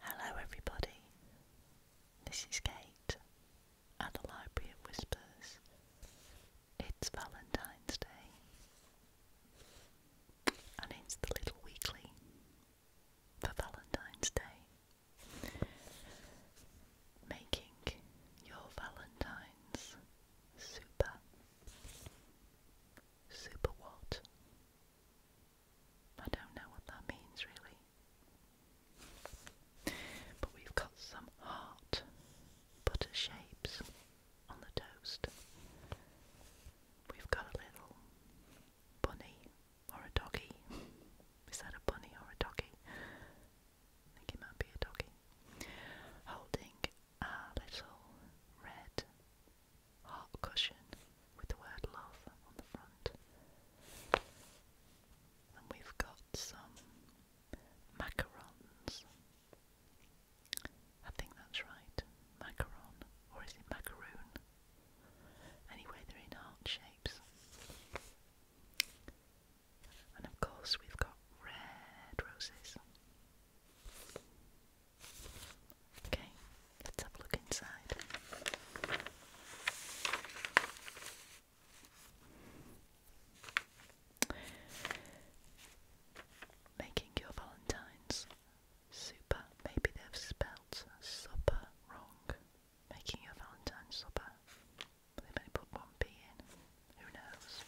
Hello, everybody. This is Kate at the Library of Whispers. It's Valentine's Day, and it's the little weekly for Valentine's Day. Making your Valentine's super. Super what? I don't know what that means really. But we've got some heart butter shapes on the toast. We've got a little bunny or a doggy. Is that a bunny or a doggy? I think it might be a doggy. Holding a little red heart cushion with the word love on the front. And we've got some macarons. I think that's right. Macaron. Or is it macaroon? Anyway, they're in heart shapes. And of course, we've got red roses. Okay, let's have a look inside. Making your valentines super. Maybe they've spelt supper wrong. Making your valentine supper. they put one P in. Who knows?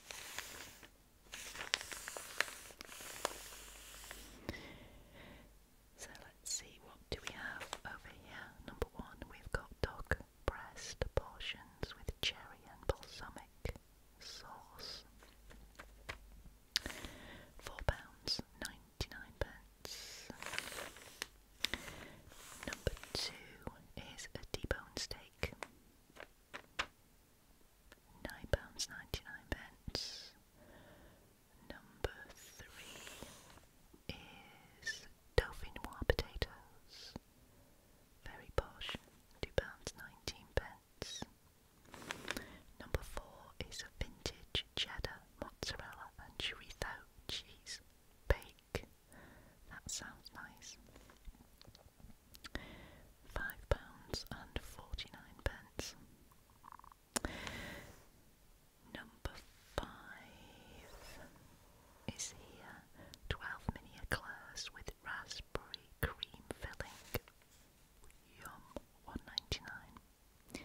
So let's see what do we have over here. Number one, we've got dog breast portions with cherry and balsamic sauce. Four pounds ninety nine pence. Number two is a deboned steak nine pounds ninety nine pence. Number three is Dauphinois potatoes. Very posh, two pounds nineteen pence. Number four is a vintage cheddar, mozzarella, and chorizo cheese bake. That sounds nice. Five pounds and forty nine pence. Number five is here 12 mini eclairs with raspberry cream filling. Yum, 1.99.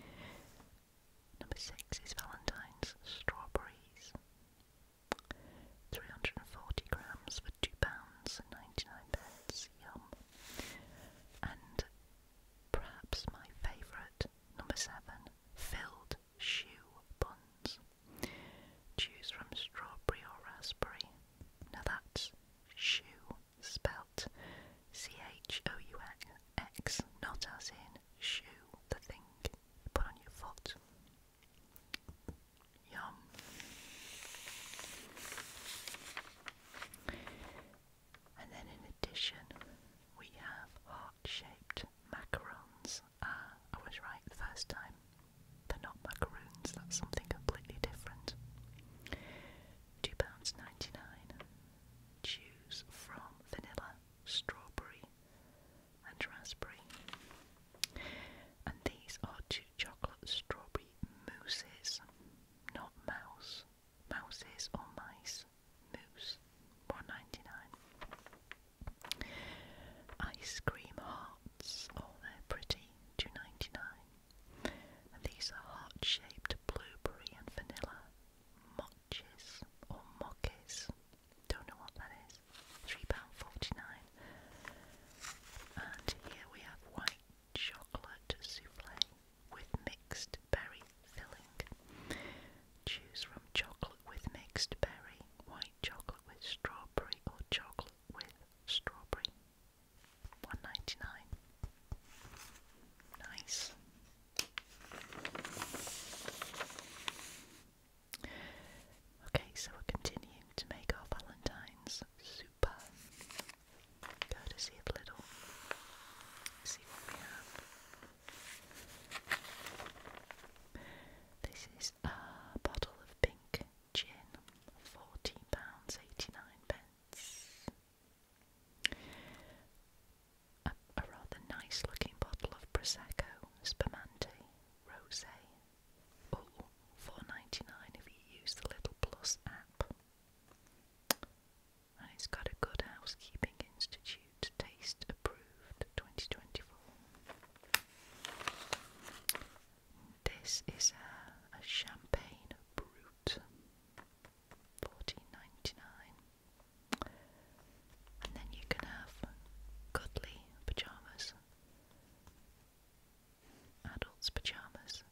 Number six is Valentine's strawberries, 340 grams for two pounds and 99 pence. And perhaps my favourite, number seven, filled shoe buns. Choose from strawberry or raspberry. Now that's shoe spelled C H O U X, not as in shoe, the thing you put on your foot. Yum. And then in addition, we have heart-shaped macarons. Ah, I was right the first time. They're not macaroons, that's something completely different. £2.99. Choose from vanilla, strawberry, and raspberry. And these are two chocolate strawberry mousses not mouse. Mouses or mice. Moose. 1.99. Ice cream hearts. Oh, they're pretty. 2.99. these are heart-shaped blueberry and vanilla mochis or mockis. Don't know what that is. £3.49. And here we have white chocolate souffle with mixed berry filling. Choose from chocolate with mixed berry, white chocolate with strawberry, or chocolate with strawberry. One ninety nine. Nice. Okay, so we're continuing to make our Valentine's Cooper. Courtesy of Little. See what we have. This is a bottle of pink gin, £14.89. pence. a rather nice looking bottle of Prosecco, Spumante, Rosé. Oh, four ninety nine if you use the little plus app. And it's got a Good Housekeeping Institute Taste Approved 2024. This is a, a champagne brut, 14 And then you can have cuddly pyjamas adults' pyjamas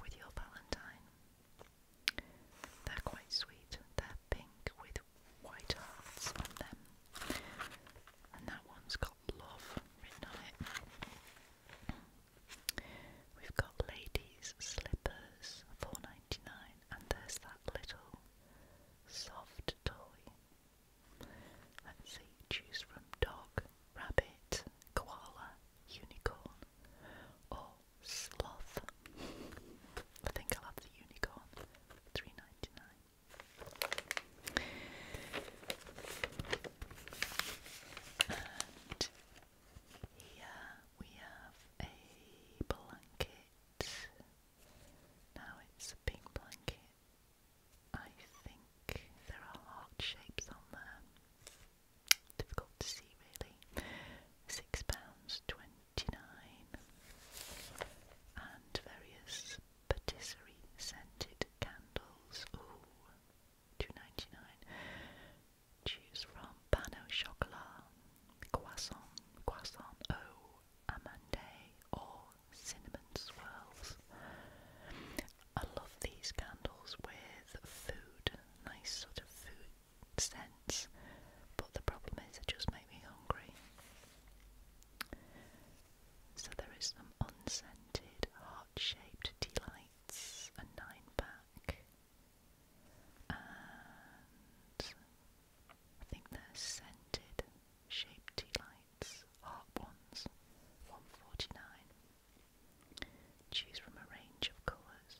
with your valentine. They're quite sweet. They're pink with white hearts on them. And that one's got love written on it. We've got ladies' slippers, four ninety nine, and there's that little soft toy. Let's see, choose from dog, rabbit, koala, unicorn, or sloth. I think I'll have the unicorn. Three ninety nine. And here we have a blanket. Now it's a pink blanket. I think there are heart shapes on there difficult to see really. Six pounds twenty-nine and various patisserie scented candles. Ooh, two ninety-nine. Choose from pano chocolat, croissant, croissant oh, amande, or cinnamon swirls. I love these candles with food, nice sort of food scents, but the problem is they just make me hungry. So there is some unscented, heart-shaped tea lights, a nine pack, I think they're scented shaped tea lights, heart ones, one forty nine. Choose from a range of colours.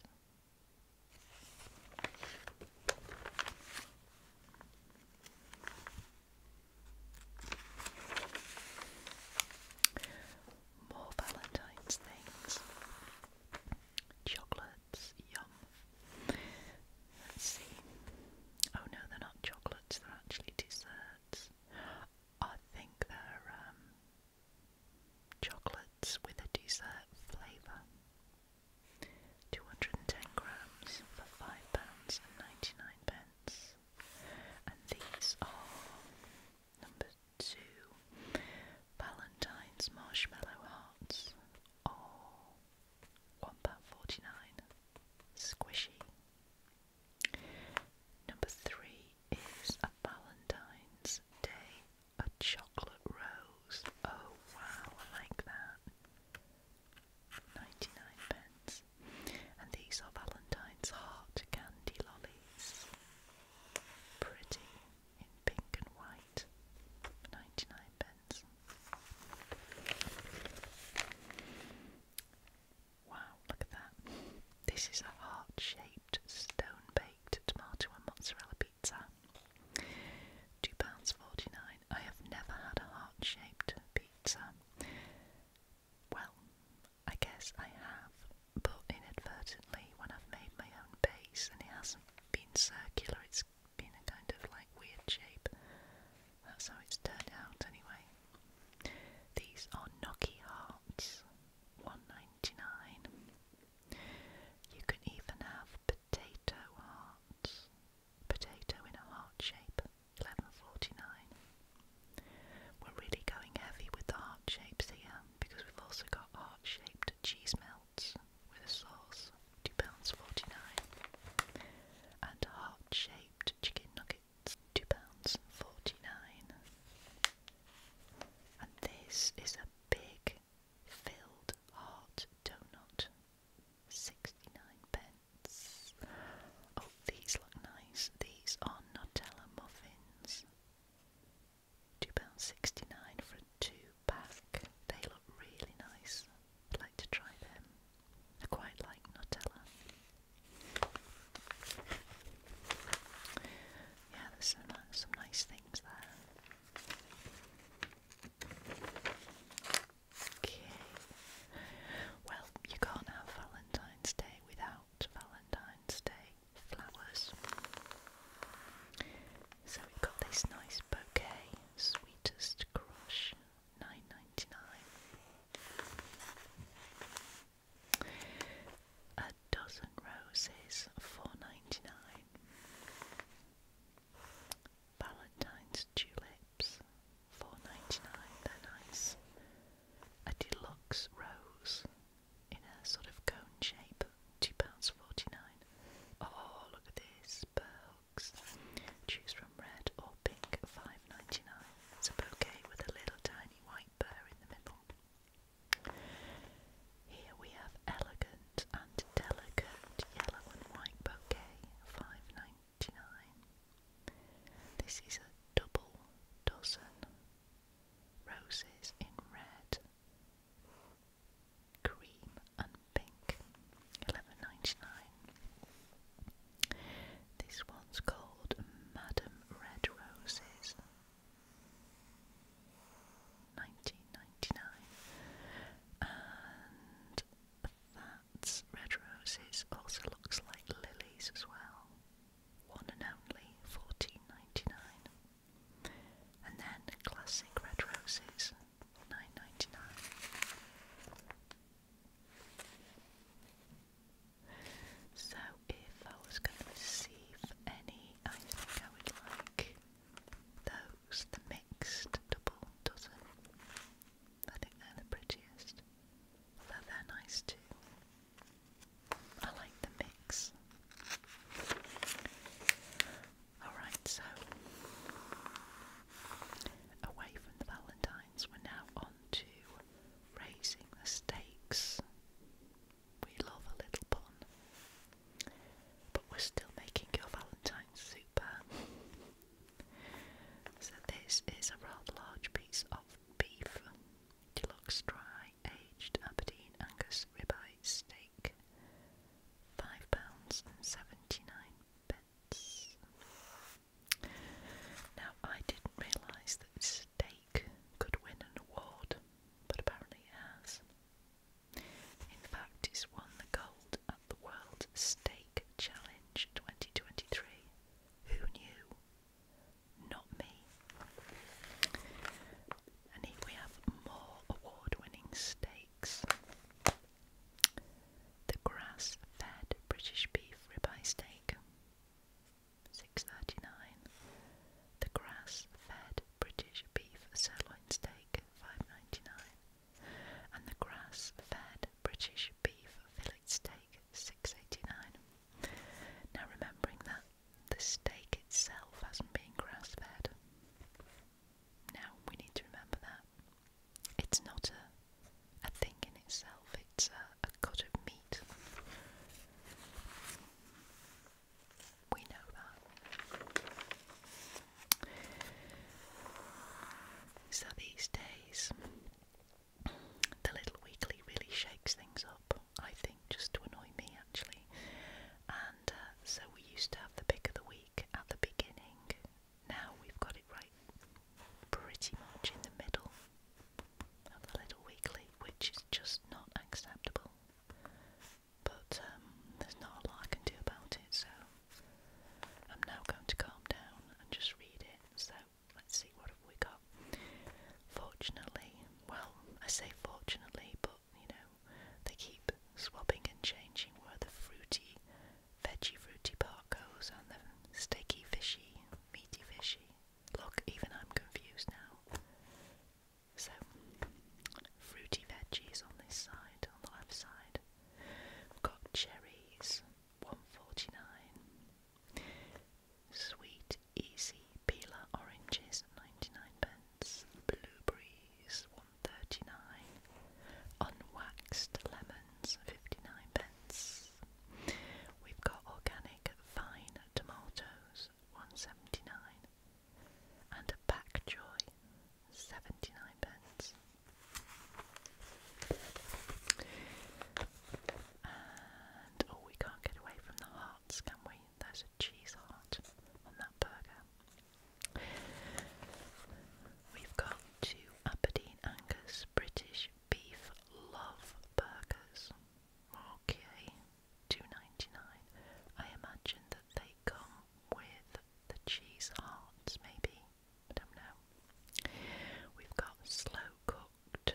More Valentine's things. Chocolates, yum. Let's see. Oh no, they're not chocolates, they're actually desserts. I think they're um chocolates with a dessert flavour. 210 grams for £5.99. pence. and these are number two Valentine's Marshmallow Hearts or £1.49. Squishy Number three is a Valentine's Day, a chocolate rose. Oh wow, I like that. 99 pence. And these are Valentine's heart candy lollies. Pretty in pink and white. 99 pence. Wow, look at that. This is a heart-shaped, stone-baked tomato and mozzarella pizza. £2.49. I have never had a heart-shaped pizza. Well, I guess I have, but inadvertently when I've made my own base and it hasn't been circular, it's been a kind of like weird shape. That's how it's turned out anyway. These are gnocchi hearts. 1.99. You can even have potato hearts, potato in a heart shape, 11.49. We're really going heavy with the heart shapes here because we've also got heart shaped cheese melts with a sauce, £2.49, and heart shaped chicken nuggets two pounds forty nine. And this is a big filled heart donut. Sixty nine pence. Oh, these look nice. These are Nutella muffins. Two pounds sixty nine for a two pack. They look really nice. I'd like to try them. I quite like Nutella. Yeah, there's some, uh, some nice things there. Okay. Well, you can't have Valentine's Day without Valentine's Day flowers. So we've got this nice bouquet, Sweetest Crush, nine ninety nine. A dozen roses, four ninety nine. Valentine's tulips, four ninety nine. They're nice. A deluxe rose in a sort of cone shape, two pounds forty nine. Oh, look at this perks. Choose from red or pink, five ninety nine. It's a bouquet with a little tiny here we have elegant and delicate yellow and white bouquet, five ninety nine. This is a double dozen roses in red, cream and pink, eleven ninety nine. This one's called Madame Red Roses. 1999 and that red roses also looks like lilies as well one and only 14.99 and then classic red roses 9.99 so if I was going to receive any, I think I would like those, the mixed double dozen. I think they're the prettiest. Although they're nice too. I like the mix. Alright, so away from the Valentines, we're now on to raising the stakes. We love a little pun, but we're still making your Valentine's super. so, this is a rather large piece of beef, deluxe dry aged Aberdeen Angus ribeye steak, £5.79. Now, I didn't realise that Steak could win an award, but apparently has. In fact, it's won the gold at the World Steak Challenge 2023. Who knew? Not me. And here we have more award winning steaks. The grass fed British beef ribeye steak. Six thirty nine. The grass-fed British beef sirloin steak, 5.99. And the grass-fed British beef fillet steak, 6.89. Now remembering that the steak itself hasn't been grass-fed. Now we need to remember that. It's not a a thing in itself, it's a a god of meat. We know that. So these days, the Little Weekly really shakes things up, I think, just to annoy me actually. And uh, so we used to have the pick of the week at the beginning. Now we've got it right pretty much in the middle of Little Weekly, which is just not acceptable. But um, there's not a lot I can do about it, so I'm now going to calm down and just read it. So let's see what have we got. Fortunately, well, I say fortunately, but you know, they keep swapping and changing where the fruity, veggie fruity part goes and the sticky fishy, meaty fishy Look, even I'm confused now. So, fruity veggies on this side, on the left side. we got cherries, 149. Sweet easy peeler oranges, 99 pence. Blueberries, 139. Unwaxed lemons, 59 pence. We've got organic fine tomatoes, 179, and a pack joy, 79 pence. And oh, we can't get away from the hearts, can we? There's a cheese heart on that burger. We've got two Aberdeen Angus British Beef Love Burgers. Marquier, two ninety nine. I imagine that they come with the cheese hearts, maybe. I don't know. We've got slow cooked.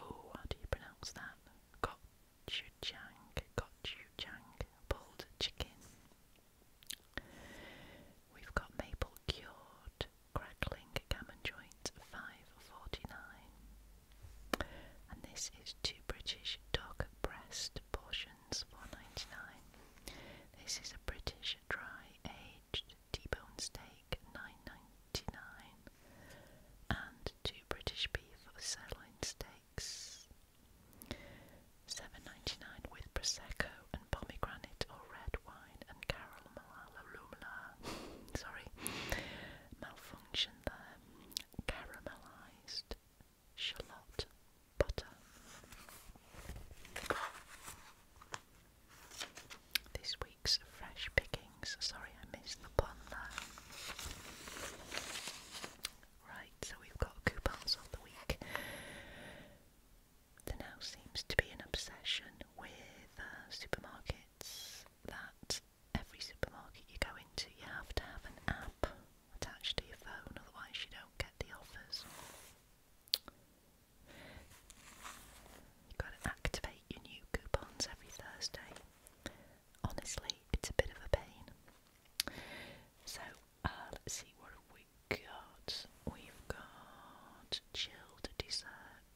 Oh, how do you pronounce that? Got Got gochujang, pulled chicken. We've got maple cured crackling gammon joint 5.49, and this is two British dog breast portions 4.99. This is a British dry aged T-bone steak 9.99, and two British beef or sirloin steaks 7.99 with prosecco and pomegranate or red wine and carol sorry, malfunction there. Caramelized shallot butter. This week's fresh pickings. Sorry, I missed the pun Right, so we've got coupons of the week. There now seems to be an obsession with uh, supermarkets that every supermarket you go into, you have to have an app attached to your phone, otherwise, you don't get the offers. You've got to activate your new coupons every Thursday. Honestly, it's a bit of a pain. So, uh, let's see what have we got. We've got chilled dessert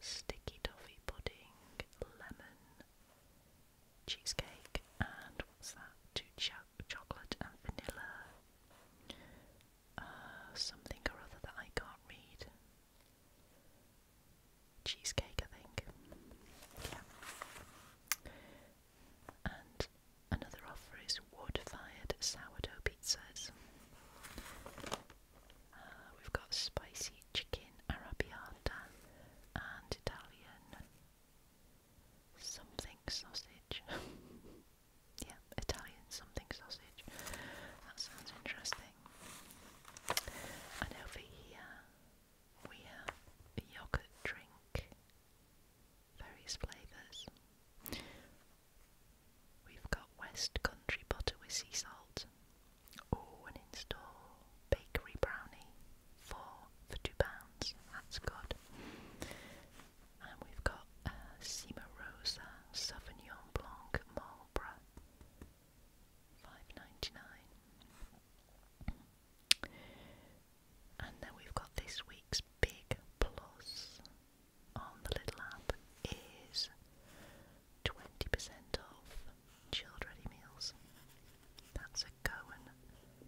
sticky toffee pudding, lemon, cheesecake, and what's that? Two cho chocolate and vanilla. Uh, something or other that I can't read. Cheesecake, I think. Yeah. And another offer is wood fired sourdough pizzas. Uh, we've got spicy chicken arabiata and Italian something sausage. yeah, Italian something sausage. That sounds interesting. And over here we have a yogurt drink, various flavours. We've got West Country butter with sea salt. Oh, and in store, bakery brownie, four for two pounds. That's good. And we've got uh, Cimarosa Sauvignon Blanc Marlborough, five ninety nine. And then we've got this week's big plus on the little app is 20% off children's meals. That's a Goan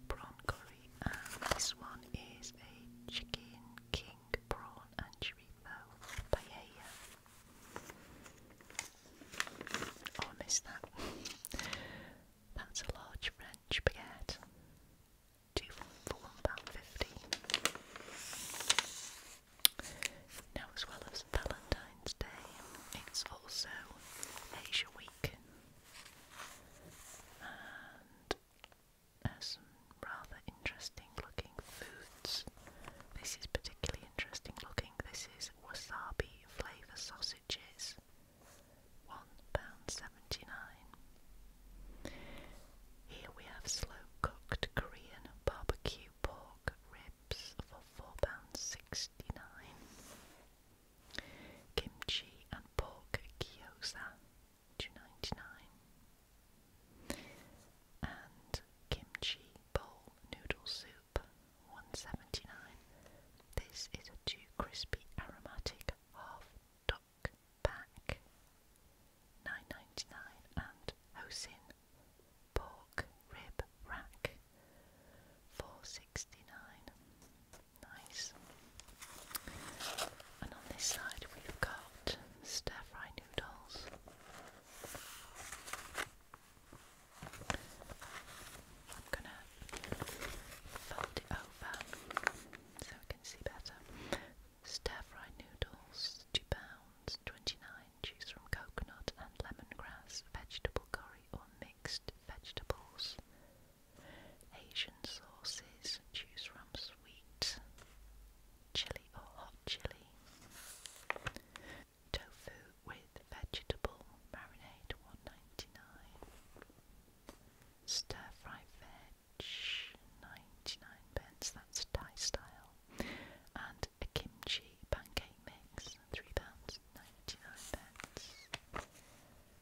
prawn curry, and this one is a chicken king prawn and chorizo paella. I missed that. That's a large French baguette. Two for one pound fifty. Now, as well as Valentine's Day, it's also Asia Week, and there's uh, rather interesting looking foods. This is particularly interesting looking. This is wasabi flavour sausages, one pound seventy-nine. Here we have slow cooked Korean barbecue pork ribs for £4.69. Kimchi and pork gyoza, two ninety nine. And kimchi bowl noodle soup, one seventy nine. This is a two crispy aromatic half duck pack. 9.99 and Hosin pork rib rack 4.69. Nice. And on this side we've got stir fry noodles. I'm gonna fold it over so we can see better. Stir fry noodles, two pounds twenty nine wine juice from coconut and lemongrass, vegetable curry or mixed vegetables. Asian sauces, choose from sweet, chili or hot chili. Tofu with vegetable marinade, one ninety nine. Stir fry veg, 99 pence, that's Thai style and a kimchi pancake mix, £3.99.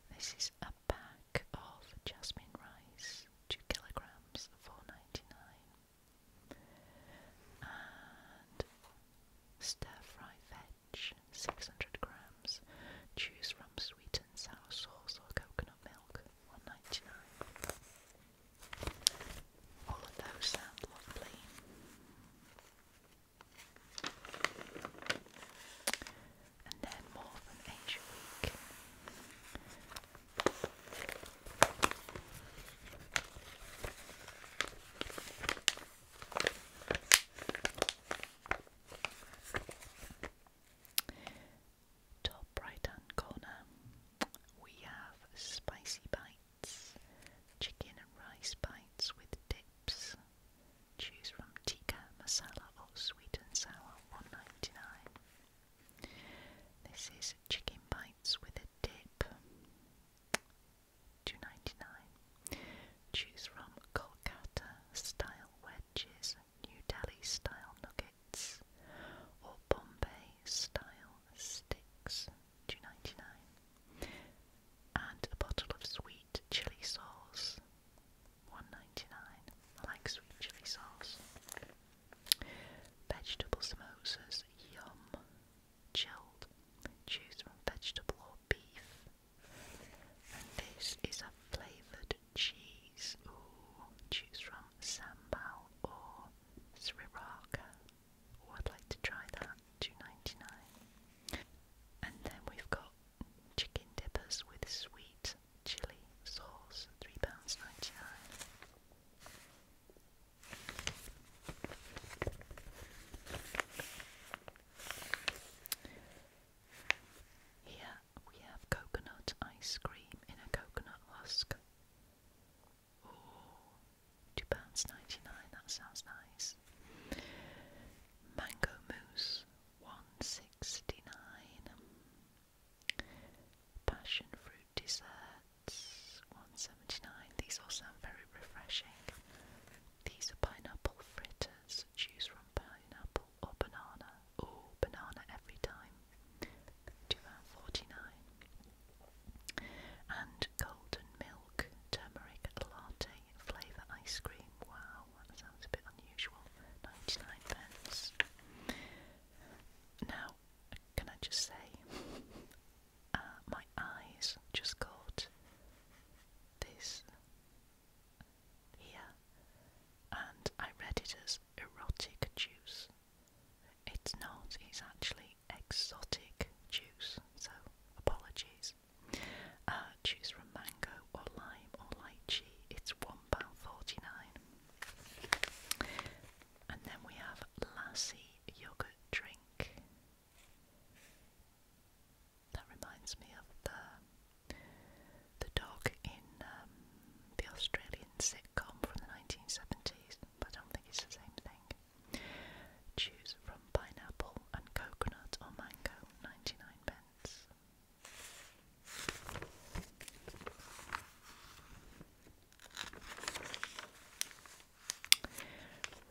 This is a pack of jasmine rice, 2 kilograms, 4 99 And stir fry veg, 600 grams. Choose from sweet and sour sauce or coconut milk, one ninety-nine. All of those sound lovely. And then more than Asia Top right hand corner, we have spicy bites, chicken and rice bites with dips. Choose from tikka masala or sweet and sour, one ninety nine. This is chicken bites with a dip, two ninety nine. Choose from Kolkata style wedges, New Delhi style nuggets or Bombay style sticks, two ninety nine, and a bottle of sweet chili sauce, one ninety nine. I like sweet chili sauce. Vegetable samosas, yum, chilled. Choose from vegetable or beef. And this is a flavoured cheese. Ooh, choose from sambal or Sriracha. Oh, I'd like to try that. Two ninety nine. And then we've got chicken dippers with sweet chili sauce. Three pounds ninety nine. Here we have coconut ice cream in a coconut husk. Oh, two pounds ninety nine. That sounds nice. Mango mousse, one sixty nine. Passion fruit desserts, one seventy nine. These all sound very refreshing. These are pineapple fritters. Choose from pineapple or banana. Oh, banana every time. 2 And golden milk turmeric latte flavour ice cream. Wow, that sounds a bit unusual. 99 pence. Now, can I just say, uh, my eyes just caught this here, and I read it as erotic juice. It's not, it's actually exotic juice, so apologies. Uh, juice from mango or lime or lychee, it's £1.49. And then we have lassi Yogurt Drink. That reminds me of the, the dog in um, the Australian sitcom from the 1970s but I don't think it's the same thing. Choose from pineapple and coconut or mango, 99 pence.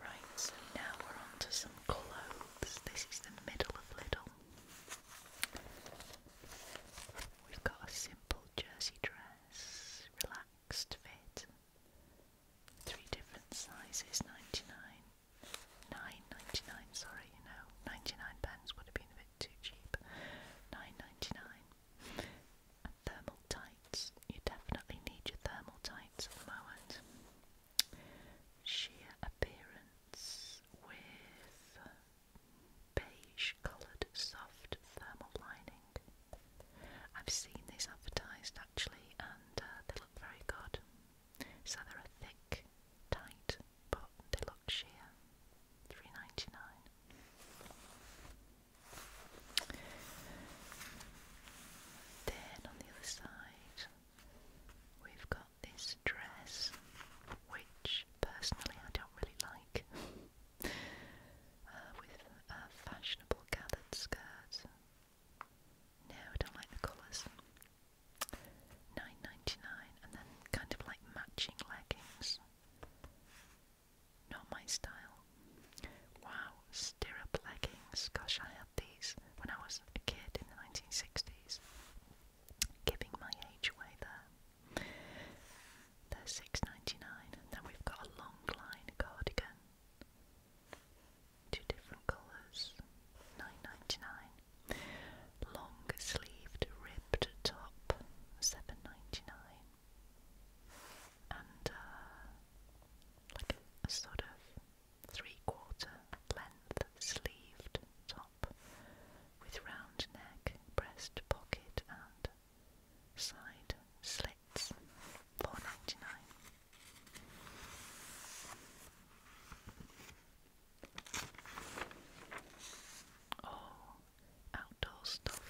Right, so now we're on some clothes. This is the middle of Lidl. We've got a simple jersey dress, relaxed relaxed fit. Three different sizes, 99 9.99, sorry, you know, 99 pence would have been a bit too cheap. 9.99. And thermal tights. You definitely need your thermal tights at the moment. Sheer appearance with beige coloured soft thermal lining. I've seen these advertised actually and uh, they look very good. So they're a thick, tight, but they look sheer. Three ninety nine. Then on the other side we've got this dress which personally I don't really like uh, with a fashionable gathered skirt. No, I don't like the colours. Nine ninety nine, and then kind of like matching leggings. Not my style. Wow, stirrup leggings. Gosh, I had these when I was a kid in the nineteen sixties. Giving my age away there. They're six ninety nine. Then we've got a long cardigan. Two different colours. Nine ninety nine. Long sleeved ribbed top. Seven ninety nine. And uh, like a sort of three quarter length sleeved top with round neck, breast pocket, and side slits, four ninety nine. All oh, outdoor stuff.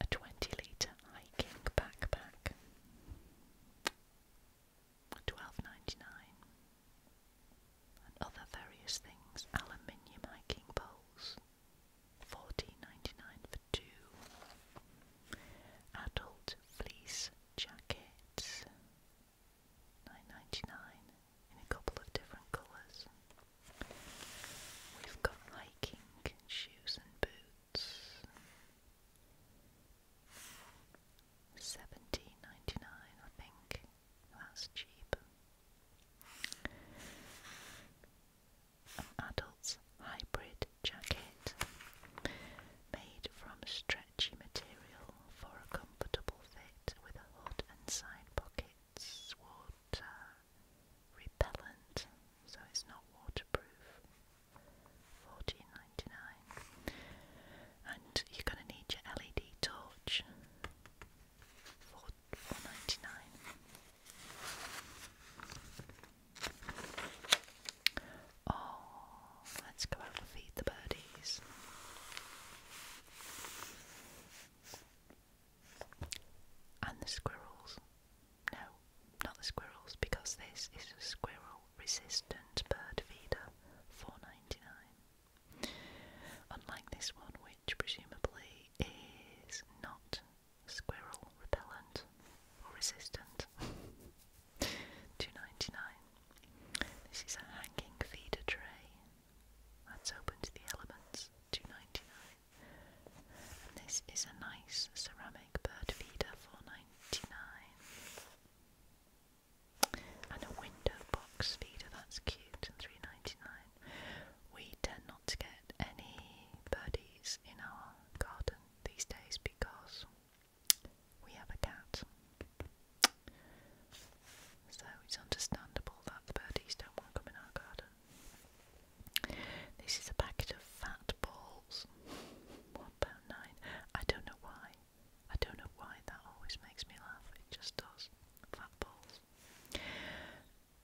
A twenty litre hiking backpack. Twelve ninety nine and other various things, aluminium hiking poles, fourteen ninety nine for two, adult fleece jackets, nine ninety nine in a couple of different colours. We've got hiking shoes and boots. Seventeen ninety nine, I think. That's cheap. An adult's hybrid jacket made from stretchy material for a comfortable fit with hood and side pockets, water repellent, so it's not waterproof. Fourteen ninety nine. And you're gonna need your LED torch for four ninety nine. Oh, let's go out and feed the birdies. And the squirrels. No, not the squirrels, because this is a squirrel resistant bird feeder, four ninety nine. Unlike this one, which presumably is not squirrel repellent or resistant. 2.99. This is a hanging feeder tray. That's open to the elements. 2.99. And this is a nice ceramic bird feeder. 4.99 and a window box feeder, that's cute, three ninety nine. We tend not to get any birdies in our garden these days because we have a cat. So it's understandable that birdies don't want to come in our garden. This is a packet of fat balls. £1.9. I don't know why. I don't know why that always makes me laugh. It just does. Fat balls.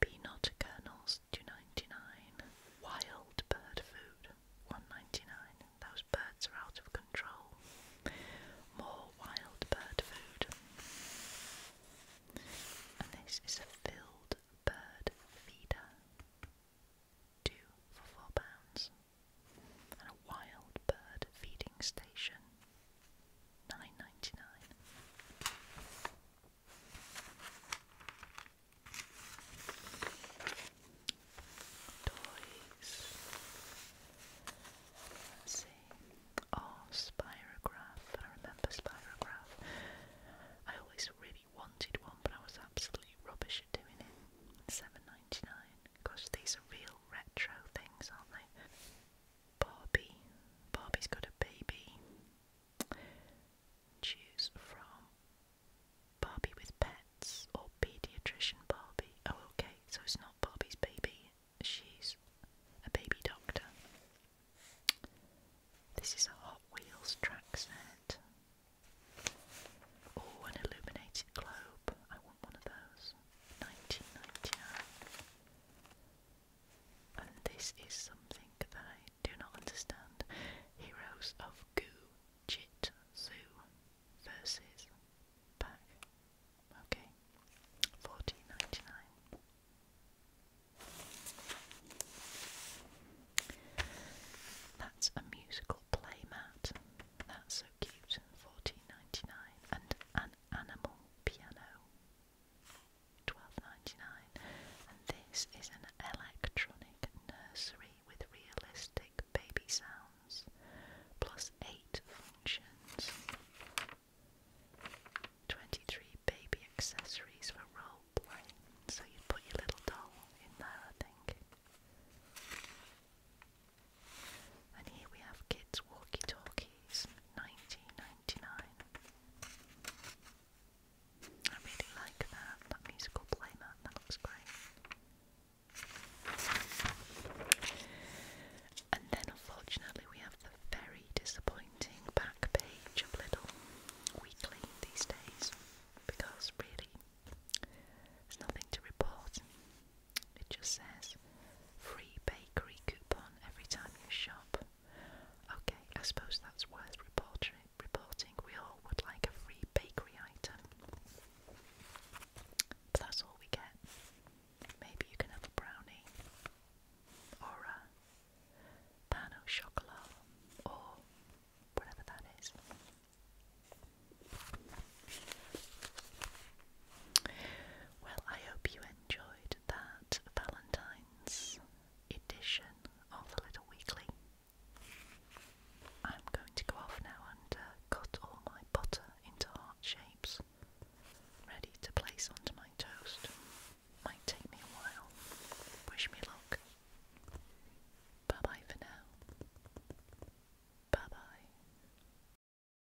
Peanut kernels, two ninety nine. Wild bird food, one ninety nine. Those birds are out of control. More wild bird food. And this is a filled bird feeder. Two for four pounds. And a wild bird feeding station nine ninety nine. Toys. Let's see. Oh, Spirograph. I remember Spirograph. I always really wanted one, but I was absolutely rubbish at doing it. Seven ninety nine. Gosh, these are real retro things, aren't they? Barbie. Barbie's got a baby. Choose from Barbie with pets or pediatrician Barbie. Oh, okay, so it's not Barbie's baby, she's a baby doctor. This is a Hot Wheels track set. Oh, an illuminated globe. I want one of those. 1999. And this is something that I do not understand. Heroes of Goo versus Pack. Okay. Fourteen ninety nine. That's a musical play mat. That's so cute. Fourteen ninety nine. And an Animal Piano, 12 and this is an electronic nursery with realistic baby sounds, plus eight functions, 23 baby accessories for role play, so you'd put your little doll in there, I think. And here we have kids walkie talkies, 1999. I really like that, that musical playmat, that looks great. And then unfortunately we have the very disappointing back page of Little Weekly these days because really there's nothing to report. It just says free bakery coupon every time you shop. Okay, I suppose that's worth reporting. We all would like a free bakery item. But that's all we get. Maybe you can have a brownie, or a pan or whatever that is. Well, I hope you enjoyed that Valentine's edition of the Little Weekly. I'm going to go off now and uh, cut all my butter into heart shapes, ready to place onto my toast. Might take me a while. Wish me luck. Bye bye for now. Bye bye.